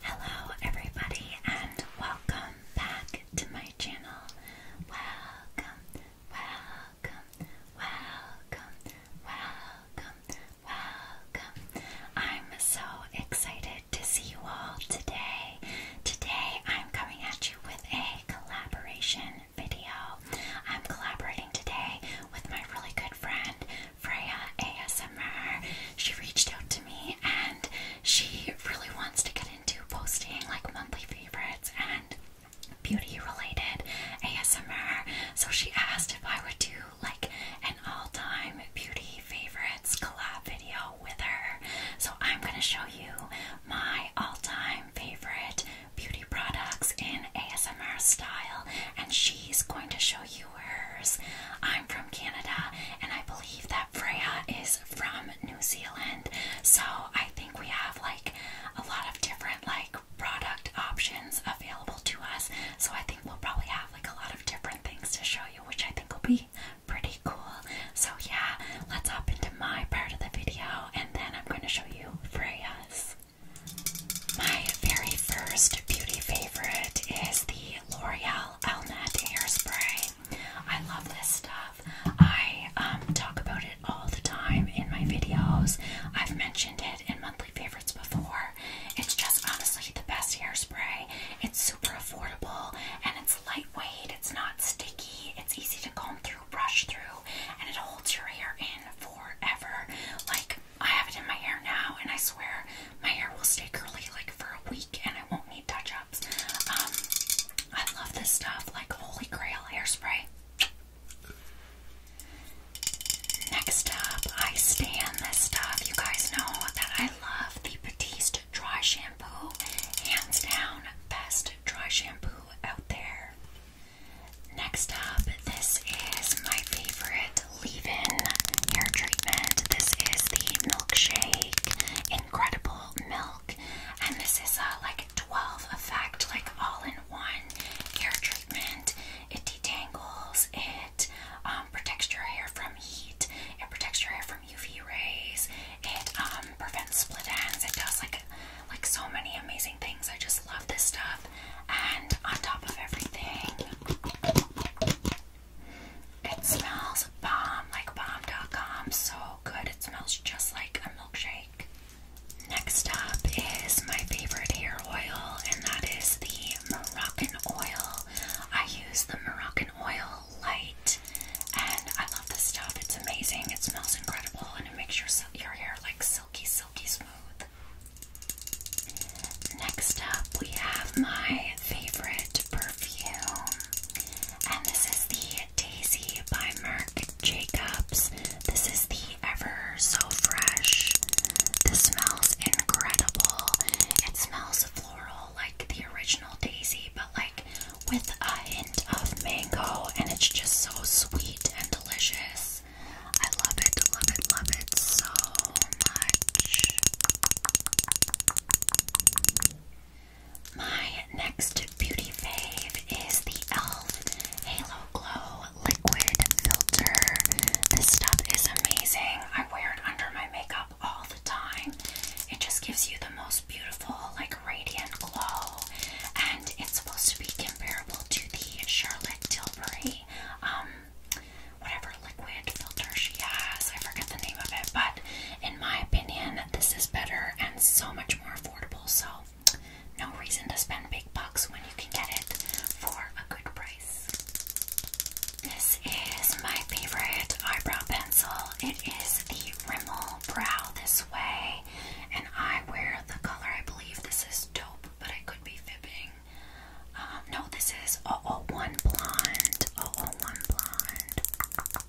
Hello, everybody, and welcome back to my channel. Welcome, welcome, welcome, welcome, welcome. I'm so excited to see you all today. Today I'm coming at you with a collaboration video. I'm collaborating today with my really good friend Freya ASMR. She reached out to me and she really wants to get in into posting like monthly favorites and beauty related ASMR. So she asked if I would do like an all time beauty favorites collab video with her. So I'm going to show you my all time favorite beauty products in ASMR style, and she's going to show you hers. I'm from Canada, and I believe that Freya is from New Zealand. So I think we have like a lot of different like product options available to us. So I think we'll probably have like a lot of different things to show you, which I think will be pretty cool. So yeah, let's hop into my part of the video and then I'm going to show you Freya's. My very first beauty favorite is the L'Oreal Elnett Spray. I love this stuff. I um, talk about it all the time in my videos. I've mentioned it in monthly favorites before. It's just honestly the best hairspray. It's super affordable and it's lightweight. It's not sticky. It's easy to comb through, brush through, and it holds your hair in forever. Like I have it in my hair now, and I swear my hair will stay curly like for a week, and I won't need touch up. Um, I love this stuff, like Holy Grail hairspray. Next up, I stand this stuff. You guys know that I love the Batiste Dry Shampoo. Hands down, best dry shampoo out there. Next up, this is my favorite leave-in hair treatment. This is the Milkshake Incredible Milk and this is a uh, like 12 effect, like all in one hair treatment. It detangles, it um, protects your hair from heat, it protects your hair from UV rays, it um, prevents split ends, it does like like so many amazing things. I just love this stuff. And on top of everything, it smells bomb, like bomb.com. So Oh, good. It smells just like a milkshake. Next up is my favorite hair oil, and that is the Moroccan oil. I use the Moroccan oil light, and I love this stuff. It's amazing. It smells incredible, and it makes your your hair like silky, silky smooth. Next up, we have my favorite perfume, and this is the Daisy by Merc Jacobs. This is the Ever So Fresh. This smells incredible. It smells floral like the original Daisy, but like with a hint of mango, and it's just so sweet and delicious. I love it, love it, love it so much. My next beauty fave is the e.l.f. Halo Glow Liquid Filter. This stuff is amazing. I wear it under my makeup all the time. It just gives you the most beautiful, like radiant glow, and it's supposed to be comparable to the Charlotte Tilbury, um, whatever liquid filter she has. I forget the name of it, but in my opinion, this is better and so much more affordable. So, no reason to spend big bucks when you can get it for a good price. This is my favorite eyebrow pencil. It is the Rimmel Brow This Way, and I wear the color. I believe this is dope, but I could be fibbing. Um, no, this is 001 Blonde. 001 Blonde.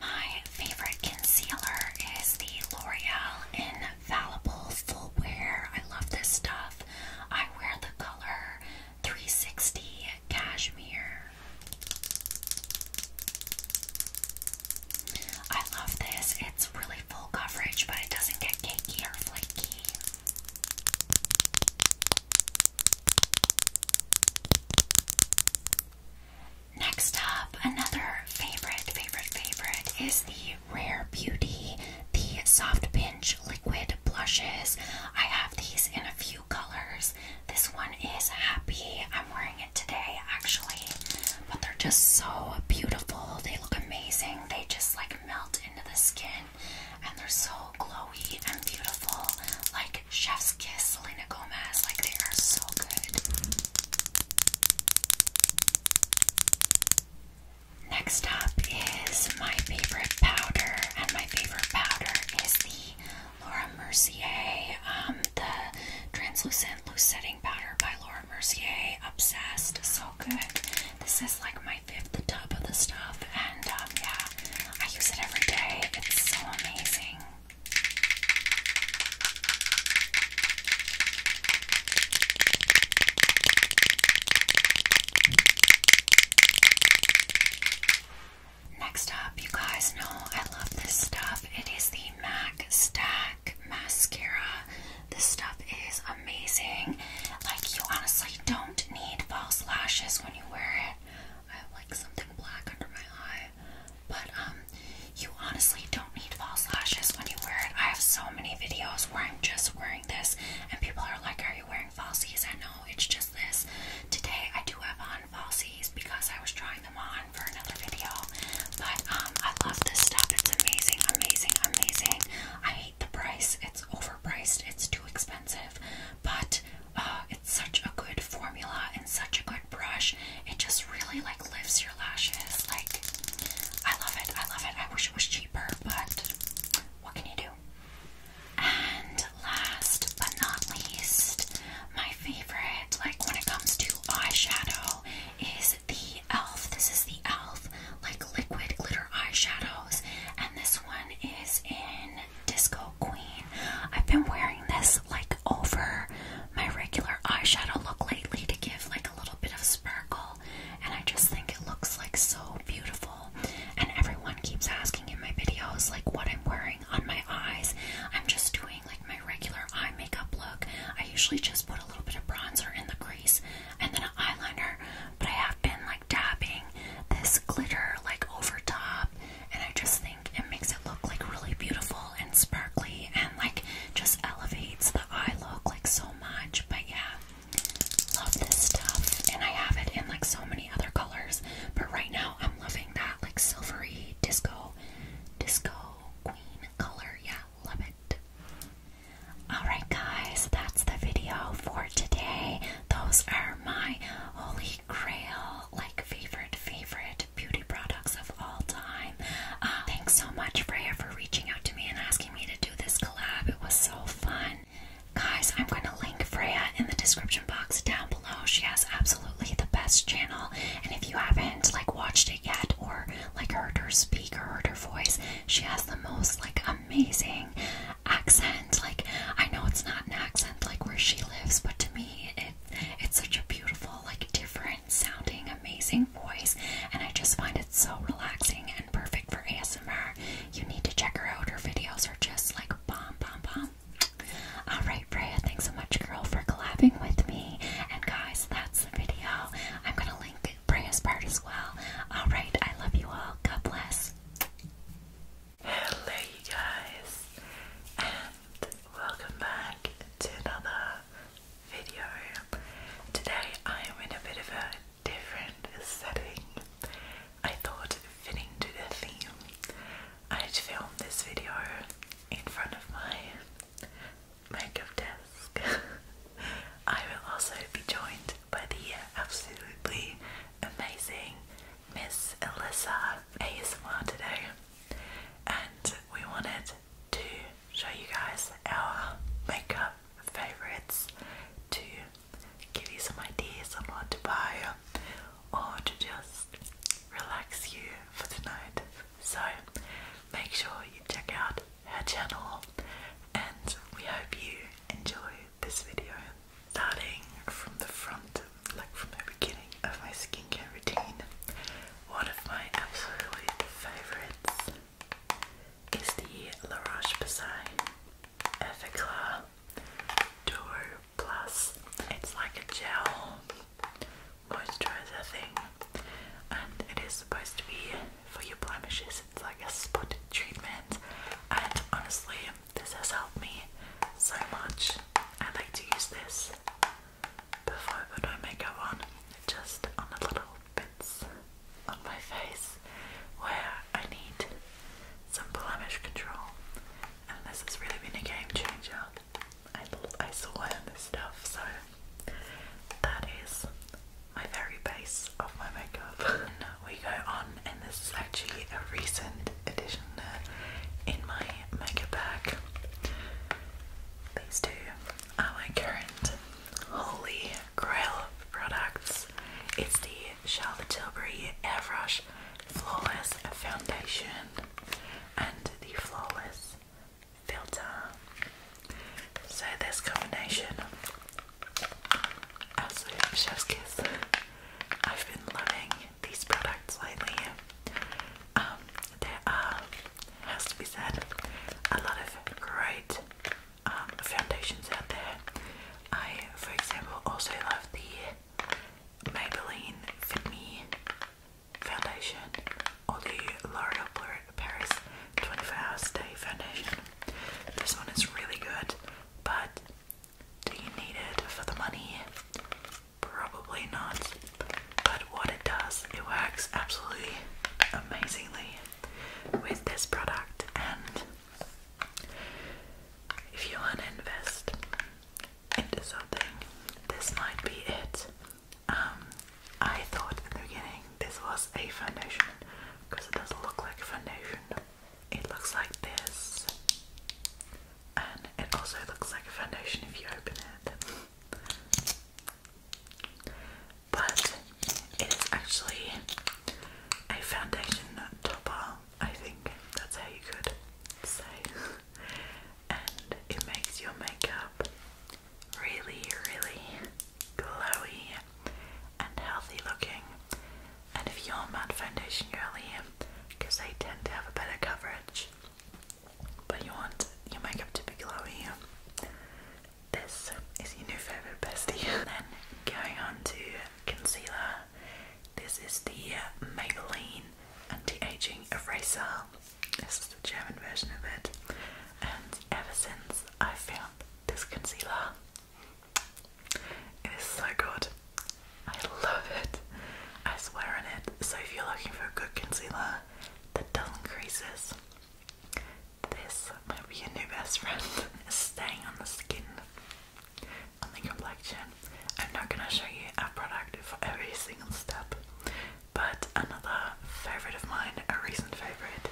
My favorite concealer is the L'Oreal Infallible Full Wear. I love this stuff. I wear the color 360 Cashmere. I love this. It's really full coverage, but it doesn't get cakey or flaky. Next up, another favorite, favorite, favorite is the Rare Beauty, the Soft Pinch Liquid Blushes. I have these in a few colors. This one is Happy. I'm wearing it today actually, but they're just so beautiful. They look amazing. They just like melt into the skin and they're so glowy and beautiful, like Chef's Kiss, Selena Gomez. Like they are so good. Next up is my favorite powder, and my favorite powder is the Laura Mercier, um, the translucent loose setting powder by Laura Mercier. Obsessed, so good. This is like my I the tub of the stuff, and um, yeah, I use it every day. It's so amazing. Next up, you guys know I love this stuff. It is the MAC Stack Mascara. This stuff is amazing. Like, you honestly don't need false lashes when you wear it. I have like something black under my eye. But um you honestly don't need false lashes when you wear it. I have so many videos where I'm just wearing this and people are like, Are you wearing falsies? I know it's just this. Today I do have on falsies because I was trying them on for another video. But um I love this stuff. It's amazing, amazing, amazing. I the price. It's overpriced. It's too expensive. But uh, it's such a good formula and such a good brush. It just really like lifts your lashes. Like I love it. I love it. I wish it was cheaper, but what can you do? And last but not least, my favorite, like when it comes to eyeshadow, is the e.l.f. This is the e.l.f like liquid glitter eyeshadows, and this one is in Disco Queen. I've been wearing this like over my regular eyeshadow look lately to give like a little bit of sparkle, and I just think it looks like so beautiful. And everyone keeps asking in my videos like what I'm wearing on my eyes. I'm just doing like my regular eye makeup look. I usually just put a little bit of bronzer in the crease and then an eyeliner, but I have been like dabbing this glitter like over top and I just think it makes it look like really beautiful and sparkly and like just elevates the eye look like so much but yeah love this stuff and I have it in like so many other colors but right now I'm loving that like silvery disco disco queen color yeah love it Alright, guys, that's the video for today. Those are my holy grail, like favorite, favorite beauty products of all time. Uh, thanks so much, Freya, for reaching out to me and asking me to do this collab. It was so fun. Guys, I'm going to link Freya in the description box down below. She has absolutely the best channel, and if you haven't like watched it yet or like heard her speak or heard her voice, she has the most like amazing accent. Like I know it's not an accent like where she lives, but to me it it's such a beautiful, like different sounding, amazing voice, and I just find it so relaxing and perfect for ASMR. You need to check her out. Her videos are just like bomb bomb bomb. Alright, Freya, thanks so much girl for collabing with me. And guys, that's the video. I'm gonna link Freya's part as well. Alright, I love you all. God bless. Hello, you guys, and welcome back to another video. Today I'm in a bit of a different setting. I thought, fitting to the theme, I'd film this video in front of my makeup desk. I will also be joined by the absolutely amazing Miss Alyssa ASMR today, and we wanted to show you guys our makeup favorites to give you some ideas on what to buy or to just relax you for the night. So make sure you check out her channel, and we hope you enjoy this video. Starting from the front, like from the beginning of my skincare routine, one of my absolute favourites is the La Roche-Posay Everclear Duo Plus. It's like a gel moisturizer thing, and it is supposed to be for your blemishes. It's like a spot treatment, and honestly, this has helped me so much. I like to use this before I put my makeup on, just on the little bits on my face where I need some blemish control. And this has really been a game changer. I, I swear on this stuff, so that is my very base of my makeup. we go on, and this is actually a recent addition in my makeup bag. These two are my current holy grail products. It's the Charlotte Tilbury Airbrush Flawless Foundation and the Flawless Filter. So this combination, absolute chef's kiss. I've been loving these products lately. Um, there are, has to be said, a lot of great um, foundations out there. I, for example, also love the Maybelline Fit Me foundation or the L'Oreal Paris 24 Hour Stay Foundation. This one is really good, but do you need it for the money? Probably not. But what it does, it works absolutely amazingly with this product. And if you want to invest into something, this might be it. Um, I thought in the beginning this was a foundation because it doesn't look like foundation. It looks like this, and it also looks like a foundation if you open it. But it is actually a foundation topper, I think that's how you could say. And it makes your makeup really, really glowy and healthy looking. And if you're a matte foundation girly, because they tend to have a better coverage, but you want your makeup to be glowy, this is your new favorite bestie. and then going on to concealer, this is the Maybelline Anti-Aging Eraser. This is the German version of it, and ever since I found this concealer. It is so good. I love it. I swear on it. So if you're looking for a good concealer that doesn't creases, this might be your new best friend. staying on the skin, on the complexion. I'm not gonna show you our product for every single step, but another favorite of mine, a recent favorite,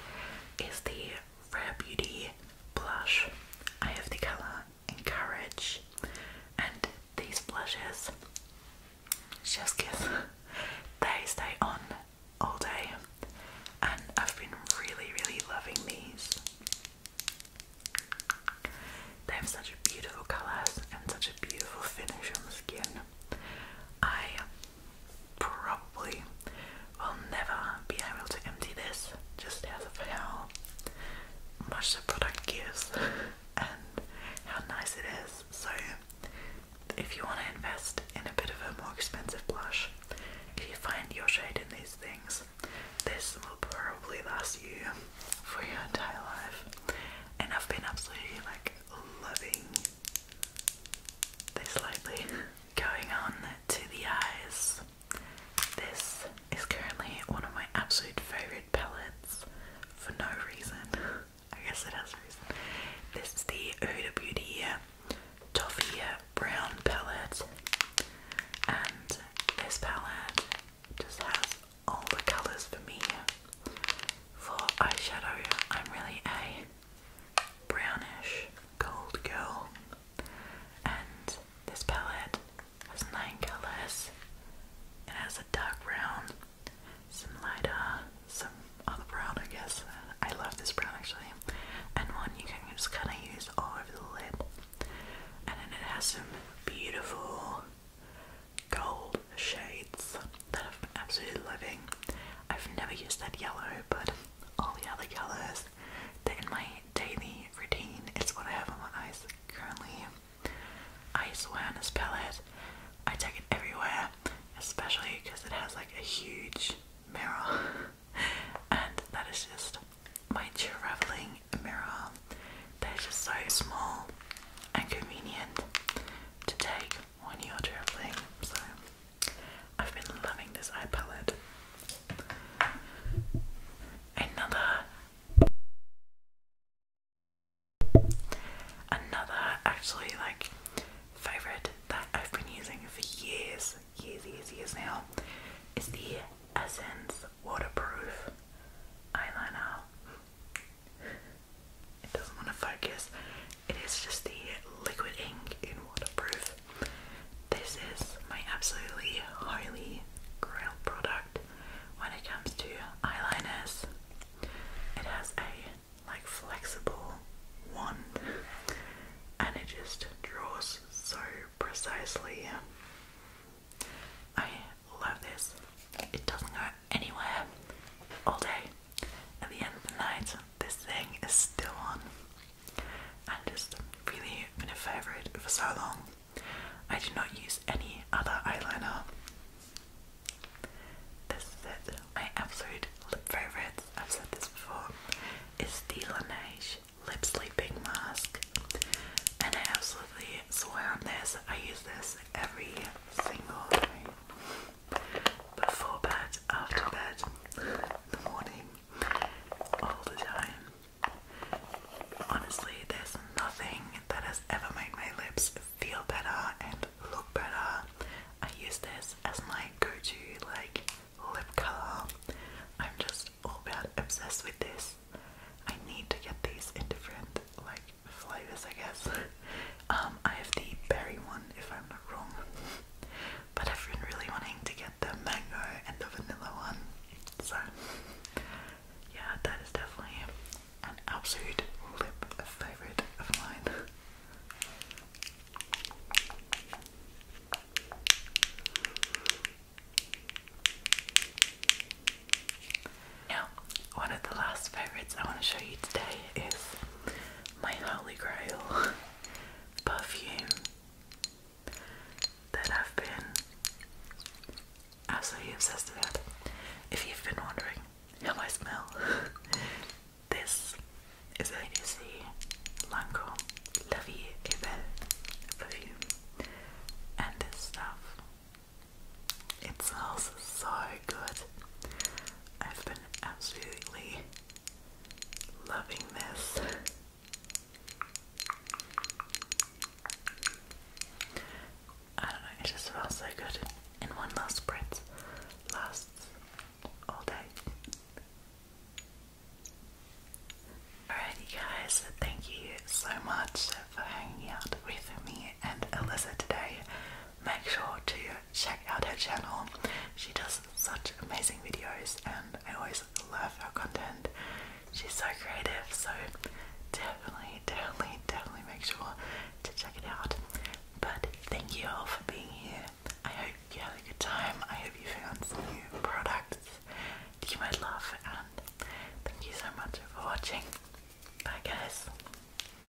is the Rare Beauty blush. I have the colour Encourage, and these blushes, just kiss, they stay on all day, and I've been really, really loving these. They have such beautiful colours and such a beautiful finish on the skin. I probably will never be able to empty this just as of how much the product gives and how nice it is. So, if you want to invest in a bit of a more expensive blush, if you find your shade in these things, this will probably last you for your entire life. And I've been absolutely like loving this lately. Going on to the eyes. This is currently one of my absolute favourite palettes for no reason. I guess it has reason. This is the Huda Beauty Toffee Brown palette. And this palette just has all the colours for me. For eyeshadow, I'm really a brownish gold girl. And this palette has nine colours. It has a dark brown, some lighter, some other brown, I guess. I love this brown actually. And one you can just kind of use all over the lid. And then it has some beautiful gold shades that i been absolutely loving. I've never used that yellow, but all the other colours that in my daily routine it's what I have on my eyes currently. I swear on this palette, I take it everywhere, especially because it has like a huge mirror, and that is just my travelling mirror. They're just so small and convenient to take when you're traveling. So I've been loving this eye palette. Another, another actually like favorite that I've been using for years, years, years, years now is the Essence Waterproof Eyeliner it doesn't want to focus. It is just the liquid ink in waterproof. This is my absolutely holy grail product when it comes to eyeliners. It has a like flexible wand and it just draws so precisely. I love this. It doesn't go anywhere all day. At the end of the night, this thing is still on and just really been a favourite for so long. I do not use any other eyeliner. This is it. My absolute lip favourites, I've said this before, is the Laneige Lip Sleeping Mask. And I absolutely swear on this, I use this every single day before bed, after bed, in the morning, all the time. Honestly, there's nothing that has ever made my lips feel better and look better. I use this as my go-to like lip color. I'm just all about obsessed with this. I need to get these in different like flavors, I guess. Um, I have the berry one, if I'm not wrong, but everyone really wanting to get the mango and the vanilla one. So, yeah, that is definitely an absolute lip favorite of mine. Now, one of the last favorites I want to show you today is my holy grail perfume that I've been absolutely obsessed with. If you've been wondering how I smell, this is a It is the Lancome La Vie est perfume, and this stuff. It smells so good. I've been absolutely loving this. I don't know, it just felt so good in one last spritz. Lasts all day. Alrighty guys, thank you so much for hanging out with me and Alyssa today. Make sure to check out her channel. She does such amazing videos and I always love her content. She's so creative, so definitely, definitely, definitely make sure to check it out. But thank you all for being here. I hope you had a good time. I hope you found some new products that you might love and thank you so much for watching. Bye guys.